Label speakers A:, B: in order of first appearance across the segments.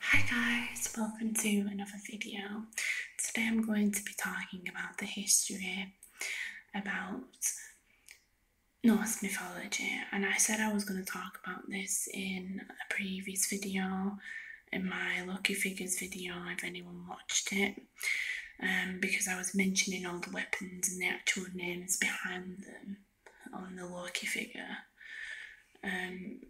A: Hi guys, welcome to another video. Today I'm going to be talking about the history about Norse mythology and I said I was going to talk about this in a previous video in my lucky figures video if anyone watched it um, because I was mentioning all the weapons and the actual names behind them on the lucky figure um,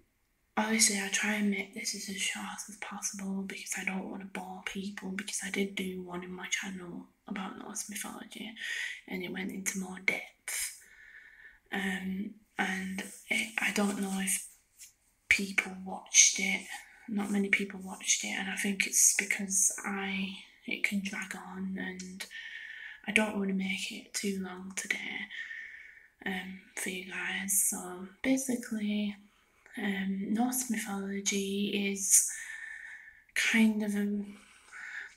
A: obviously I try and make this as short as possible because I don't want to bore people because I did do one in my channel about Norse mythology and it went into more depth um, and I don't know if people watched it not many people watched it and I think it's because I it can drag on and I don't want to make it too long today um, for you guys. So basically, um, Norse mythology is kind of um,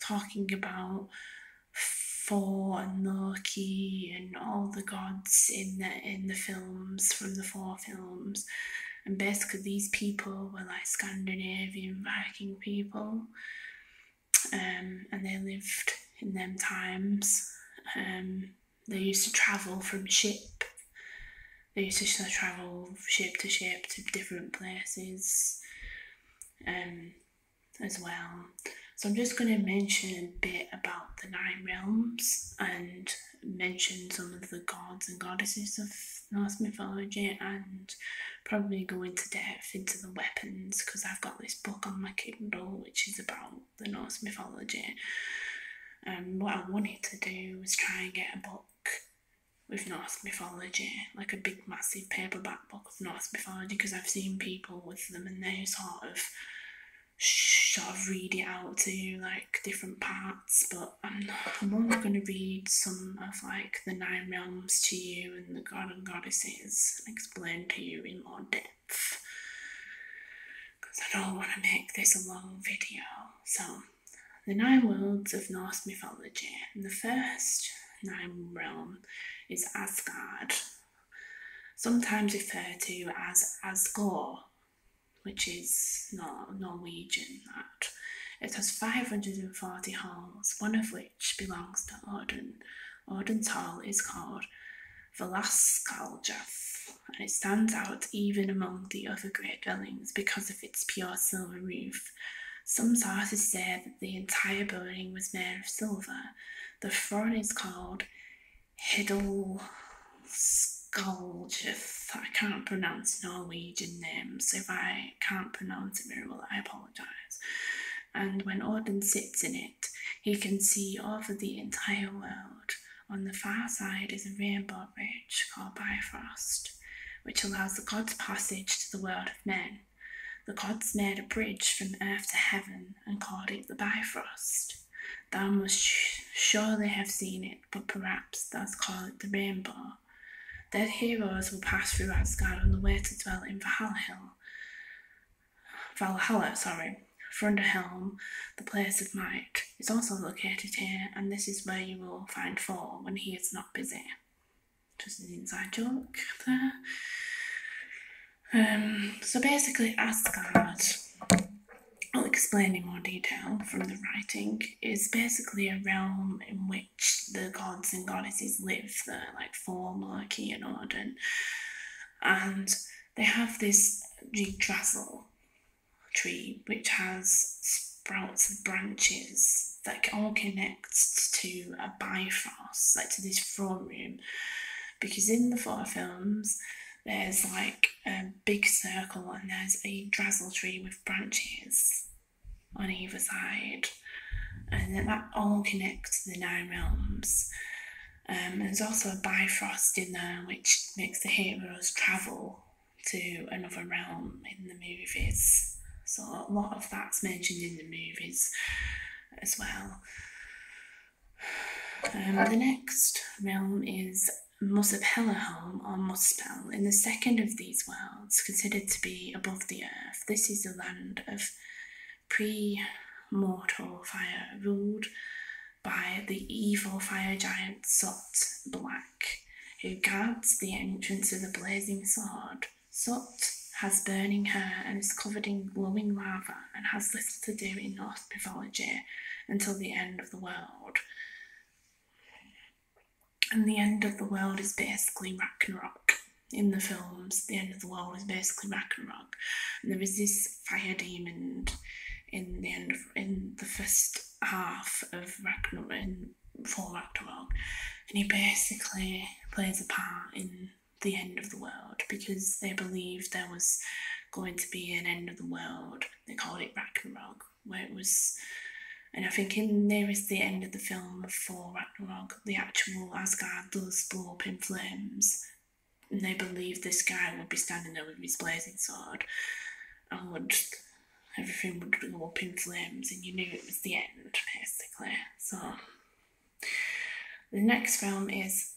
A: talking about Thor and Loki and all the gods in the in the films from the four films. And basically, these people were like Scandinavian Viking people, um, and they lived in them times. Um, they used to travel from ship. They used to travel ship to ship to different places um, as well. So I'm just going to mention a bit about the nine realms and mention some of the gods and goddesses of Norse mythology and probably go into depth into the weapons because I've got this book on my Kindle which is about the Norse mythology. And um, what I wanted to do was try and get a book with Norse mythology, like a big, massive paperback book of Norse mythology, because I've seen people with them and they sort of sort of read it out to like different parts. But I'm I'm only going to read some of like the nine realms to you and the god and goddesses, and explain to you in more depth because I don't want to make this a long video. So, the nine worlds of Norse mythology. And the first nine realm is Asgard, sometimes referred to as Asgore, which is Nor- Norwegian. That it has 540 halls, one of which belongs to Odin. Odin's hall is called Velascaljaf, and it stands out even among the other great dwellings because of its pure silver roof. Some sources say that the entire building was made of silver. The front is called Hidalskalgjuf. I can't pronounce Norwegian names, so if I can't pronounce it very well, I apologise. And when Odin sits in it, he can see over the entire world. On the far side is a rainbow bridge called Bifrost, which allows the gods passage to the world of men. The gods made a bridge from earth to heaven and called it the Bifrost. Thou must surely have seen it, but perhaps thou'st call it the rainbow. Dead heroes will pass through Asgard on the way to dwell in Valhalla. Valhalla, sorry, Frunderhelm, the place of might, is also located here, and this is where you will find Thor when he is not busy. Just an inside joke there. Um, so basically, Asgard, I'll explain in more detail from the writing, is basically a realm in which the gods and goddesses live, the, like Thor, Loki, and Odin and they have this yggdrasil tree which has sprouts and branches that all connect to a bifrost, like to this throne room. Because in the four films, there's like a big circle and there's a drazzle tree with branches on either side. And that all connects the nine realms. Um, there's also a Bifrost in there, which makes the heroes travel to another realm in the movies. So a lot of that's mentioned in the movies as well. Um, the next realm is Muspelheim or Muspel. In the second of these worlds, considered to be above the earth, this is the land of pre mortal fire ruled by the evil fire giant Sot Black, who guards the entrance to the blazing sword. Sot has burning hair and is covered in glowing lava and has little to do in Norse mythology until the end of the world. And the end of the world is basically Ragnarok. In the films, the end of the world is basically Ragnarok. And there is this fire demon in the end in the first half of Ragnarok in for and he basically plays a part in the end of the world because they believed there was going to be an end of the world. They called it Ragnarok, where it was. And I think in nearest the end of the film of Thor Ragnarok, the actual Asgard does blow up in flames and they believed this guy would be standing there with his blazing sword and would everything would go up in flames and you knew it was the end basically so the next film is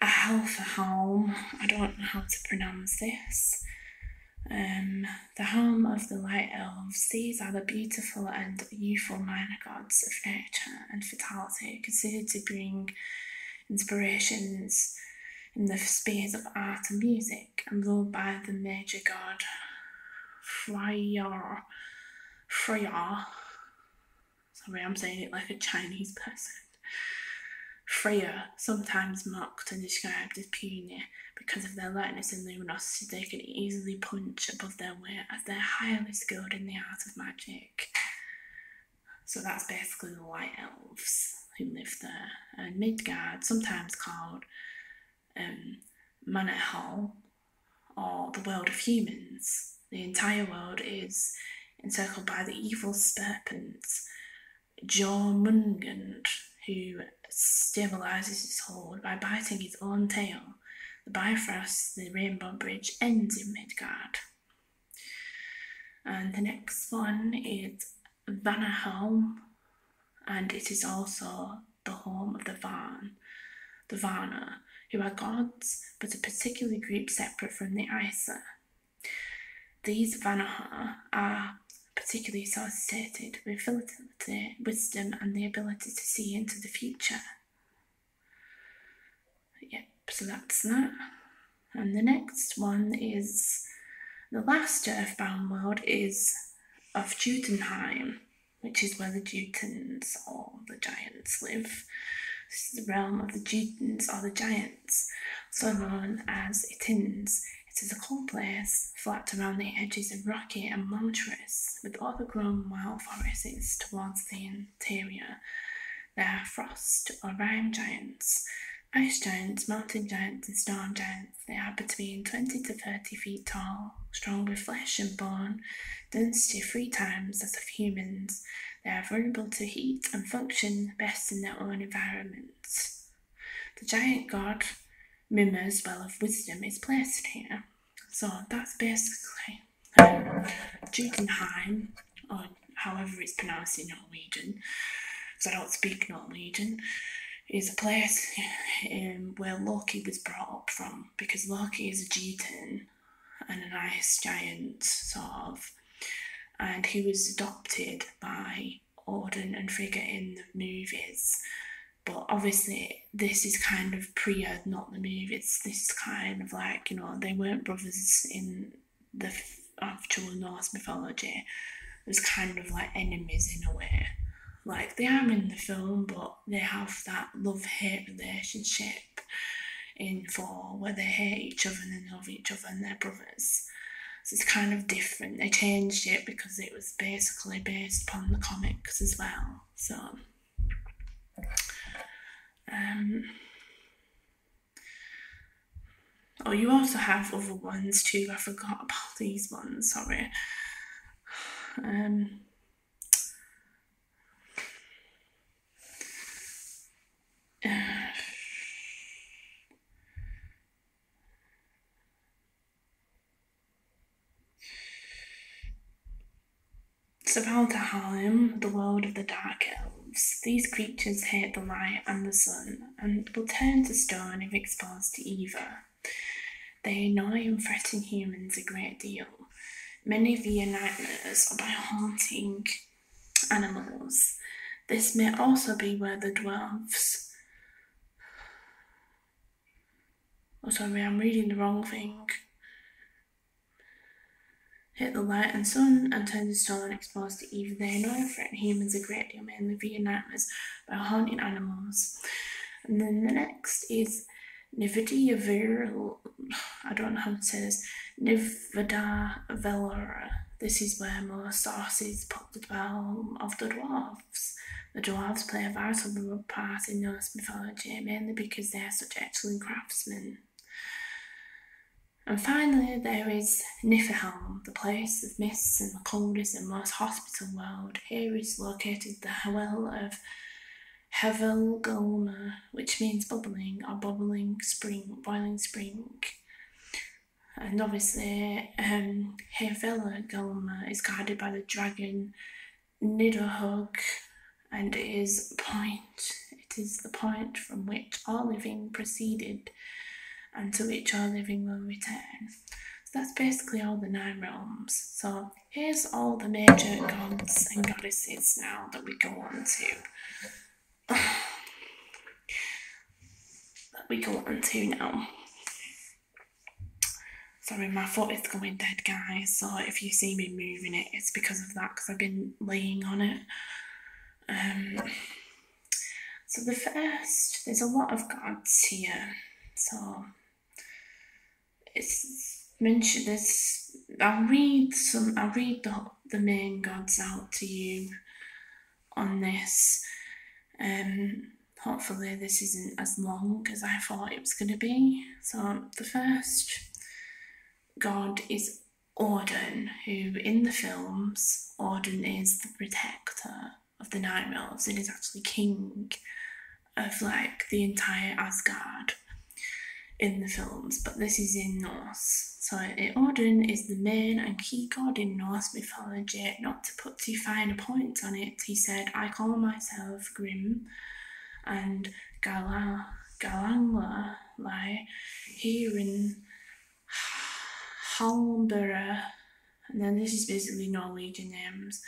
A: a hell for home. I don't know how to pronounce this. Um, the home of the light elves. These are the beautiful and youthful minor gods of nature. Uh, and fatality considered to bring inspirations in the spheres of art and music, and ruled by the major god Friar. Freya. Sorry, I'm saying it like a Chinese person. Freya, sometimes mocked and described as puny because of their lightness and luminosity, they can easily punch above their weight as they're highly skilled in the art of magic. So that's basically the White Elves who live there. And uh, Midgard, sometimes called um, or the world of humans. The entire world is encircled by the evil Sperpent, Jormungand, who stabilizes his hold by biting his own tail. The Bifrost, the Rainbow Bridge, ends in Midgard. And the next one is Vanaholm, and it is also the home of the Van, the Vana, who are gods but a particular group separate from the Isa. These Vanaha are particularly associated with fertility, wisdom, and the ability to see into the future. Yep, so that's that. And the next one is the last earthbound world is of Judenheim, which is where the Jutens or the giants live. This is the realm of the Jutens or the giants, So known as Itins. It is a cold place, flat around the edges and rocky and mountainous, with grown wild forests towards the end. Teria. There are frost or rime giants, ice giants, mountain giants, and storm giants. They are between 20 to 30 feet tall, strong with flesh and bone, density three times that of humans. They are vulnerable to heat and function best in their own environments. The giant god Mima's Well of Wisdom is blessed here. So that's basically um, however it's pronounced in Norwegian, because I don't speak Norwegian, is a place um, where Loki was brought up from, because Loki is a Jeten and a ice giant, sort of, and he was adopted by Odin and Frigga in the movies. But obviously, this is kind of pre not the move. It's this kind of like you know they weren't brothers in the actual Norse mythology. It was kind of like enemies in a way. Like they are in the film, but they have that love hate relationship in four where they hate each other and they love each other and they're brothers. So it's kind of different. They changed it because it was basically based upon the comics as well. So. Um, oh, you also have other ones too. I forgot about these ones. Sorry. Um, it's about the Harlem, the world of the Dark Elves. These creatures hate the light and the sun, and will turn to stone if exposed to either. They annoy and threaten humans a great deal, many via nightmares or by haunting animals. This may also be where the dwarves. Oh, sorry, I'm reading the wrong thing. Hit the light and sun, and turn the stone and exposed to even they know threaten humans a great deal, mainly via nightmares by hunting animals. And then the next is Nivida I don't know how to say this. Nivida Velora. This is where most sources put the realm of the dwarves. The dwarves play a vital part in Norse mythology, mainly because they are such excellent craftsmen. And finally, there is Nifelheim, the place of mists and the coldest and most hospitable world. Here is located the well of Hevelgolma, which means bubbling or bubbling spring, boiling spring. And obviously, um, Hevelgolma is guarded by the dragon Nidhogg, and it is point. It is the point from which our living proceeded and to which our living will return. that's basically all the nine realms. So here's all the major gods and goddesses now that we go on to. that we go on to now. Sorry, my foot is going dead, guys. So if you see me moving it, it's because of that, because I've been laying on it. Um, so the first, there's a lot of gods here. So it's mentioned this. I'll read some. I'll read the the main gods out to you on this. Um, hopefully this isn't as long as I thought it was going to be. So the first god is Auden, who in the films, Auden is the protector of the Nine Elves and is actually king of like the entire Asgard in the films, but this is in Norse. So Odin eh, is the main and key god in Norse mythology. Not to put too fine a point on it, he said, I call myself Grim and Gala, Galangla my in Halbera, and then this is basically Norwegian names.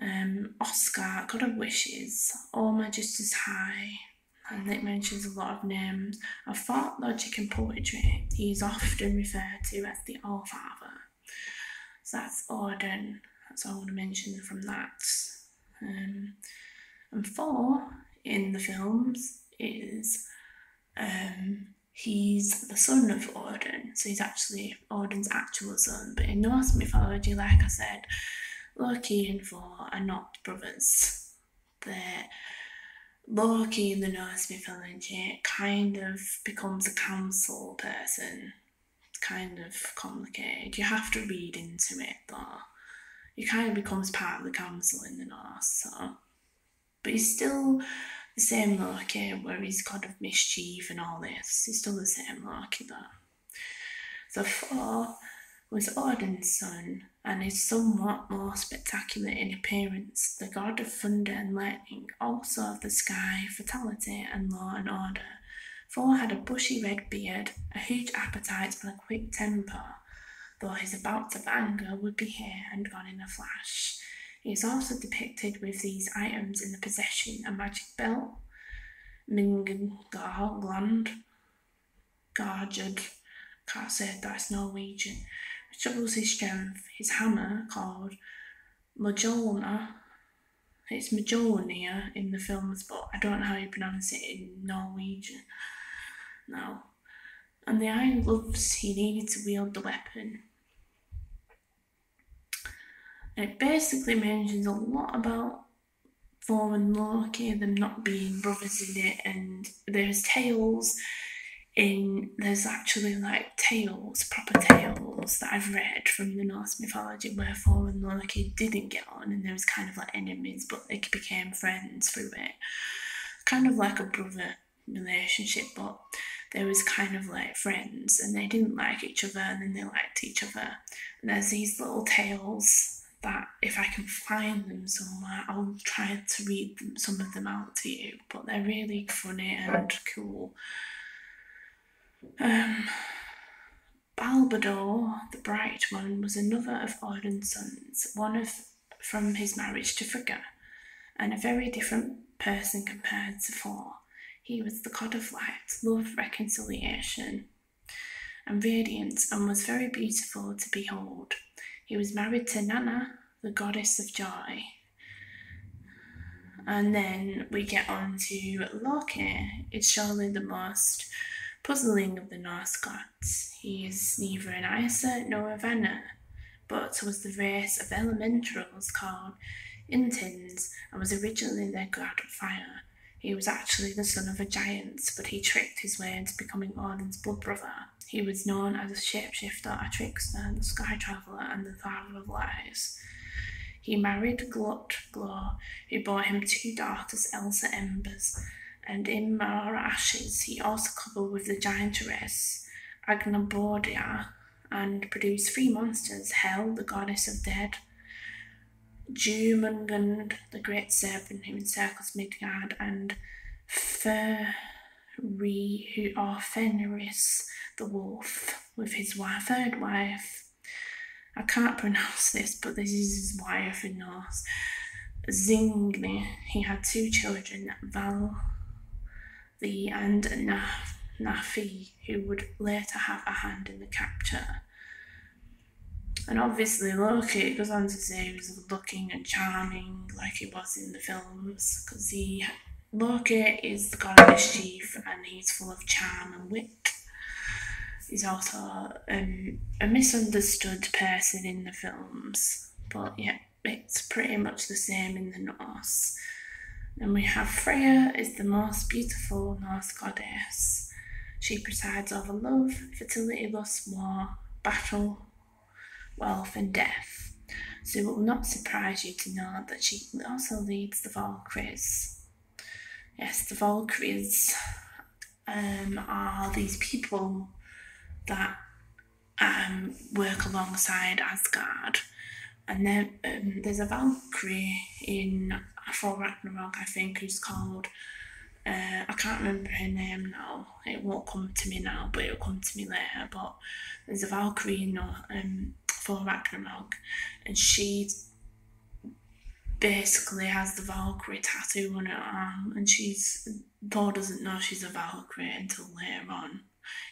A: Um, Oscar, God of Wishes, Orma Just As High, and it mentions a lot of names. Of thought, logic, and poetry, he is often referred to as the Allfather. So that's Odin, that's all I want to mention from that. Um, and Thor in the films is um, he's the son of Odin, so he's actually Odin's actual son. But in Norse mythology, like I said, Loki and Thor are not brothers. They're Loki in the Norse mythology kind of becomes a council person. It's kind of complicated. You have to read into it though. He kind of becomes part of the council in the that. but he's still the same Loki where he's kind of mischief and all this. He's still the same Loki though. The four was Odin's son and is somewhat more spectacular in appearance, the god of thunder and lightning, also of the sky, fatality, and law and order. Thor had a bushy red beard, a huge appetite quick temper, though his bouts of anger would be here and gone in a flash. He is also depicted with these items in the possession a magic belt, Mingar gland, Garjud, can that's Norwegian, which doubles his strength, his hammer called Majorna. It's Majolnir in the films, but I don't know how you pronounce it in Norwegian now. And the Iron Gloves, he needed to wield the weapon. And it basically mentions a lot about Thor and Loki, them not being brothers in it, and there's tales in there's actually like tales, proper tales that I've read from the Norse mythology where Thor and Loki didn't get and there was kind of like enemies, but they became friends through it. Kind of like a brother relationship, but they was kind of like friends, and they didn't like each other, and then they liked each other. there's these little tales that if I can find them somewhere, I'll try to read some of them out to you. But they're really funny and cool. Um, Balbador the Bright One was another of Odin's sons, one of from his marriage to Frigga, and a very different person compared to Thor. He was the god of light, love, reconciliation, and radiance, and was very beautiful to behold. He was married to Nanna, the goddess of joy. And then we get on to Loki. It's surely the most puzzling of the Norse gods he is neither an Isa nor a Vanna, but was the race of elementals called Intins and was originally their god of fire. He was actually the son of a giant, but he tricked his way into becoming Odin's blood brother. He was known as a shifter a trickster, the sky traveller, and the father of lies. He married Glut Glor, who bore him two daughters, Elsa Embers and in our ashes he also coupled with the giantess Agnabordia and produced three monsters Hel, the goddess of death, Jumungand, the great serpent who encircles Midgard, and Furry, who are Fenris, the wolf, with his wife, third wife, I can't pronounce this, but this is his wife in Norse. Zingni. He had two children, Val the and Naf, Nafi, who would later have a hand in the capture. And obviously, Loki goes on to say he was looking and charming, like he was in the films, because he Loki is the god of mischief, and he's full of charm and wit. He's also um, a misunderstood person in the films, but yeah, it's pretty much the same in the Norse. Then we have Freya is the most beautiful Norse goddess. She presides over love, fertility, lust, war, battle, wealth, and death. So it will not surprise you to know that she also leads the Valkyries. Yes, the Valkyries um, are these people that um, work alongside Asgard. And then um, there's a Valkyrie in For Ragnarok, I think, who's called. Uh, I can't remember her name now. It won't come to me now, but it'll come to me later. But there's a Valkyrie in um, For Ragnarok, and she basically has the Valkyrie tattoo on her arm, and she's Thor doesn't know she's a Valkyrie until later on.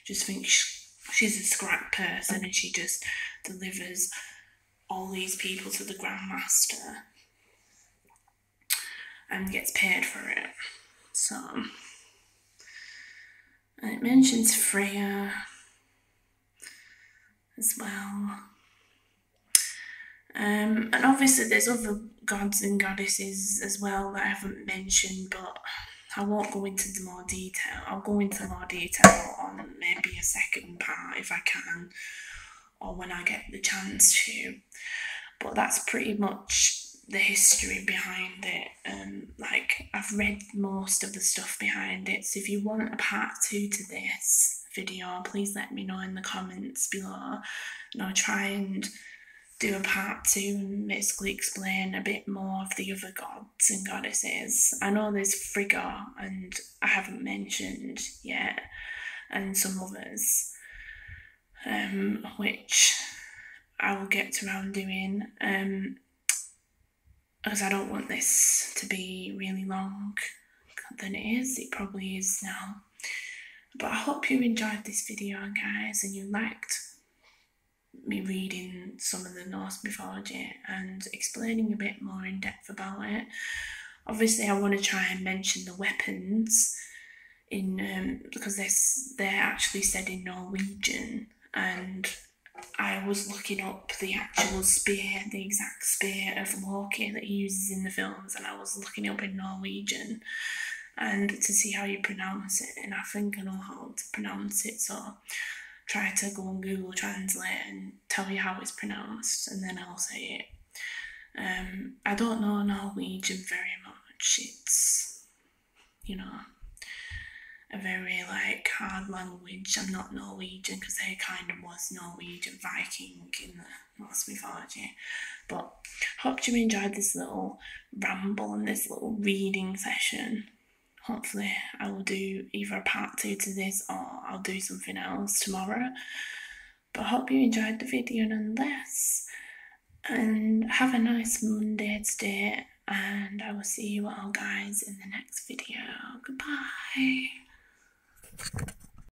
A: Just thinks she's a scrap person, and she just delivers all these people to the Grandmaster and gets paid for it. So, and it mentions Freya as well. Um, and obviously, there's other gods and goddesses as well that I haven't mentioned, but I won't go into the more detail. I'll go into more detail on maybe a second part if I can, or when I get the chance to. But that's pretty much the history behind it. Um, like I've read most of the stuff behind it. So if you want a part two to this, video, please let me know in the comments below. And I'll try and do a part to basically explain a bit more of the other gods and goddesses. I know there's Frigga, and I haven't mentioned yet, and some others, um, which I will get around doing. because um, I don't want this to be really long than it is. It probably is now. But I hope you enjoyed this video, guys, and you liked me reading some of the Norse mythology and explaining a bit more in depth about it. Obviously, I want to try and mention the weapons in um, because they're, they're actually said in Norwegian, and I was looking up the actual spear, the exact spear of Loki that he uses in the film and I was looking up in Norwegian and to see how you pronounce it and I think I know how to pronounce it so try to go on Google Translate and tell you how it's pronounced and then I'll say it. Um, I don't know Norwegian very much. It's you know a very like hard language. I'm not Norwegian because I kind of was Norwegian Viking in the Lost my virginity. But hope you enjoyed this little ramble and this little reading session. Hopefully, I will do either a part two to this or I'll do something else tomorrow. But hope you enjoyed the video nonetheless. And have a nice Monday today. And I will see you all guys in the next video. Goodbye.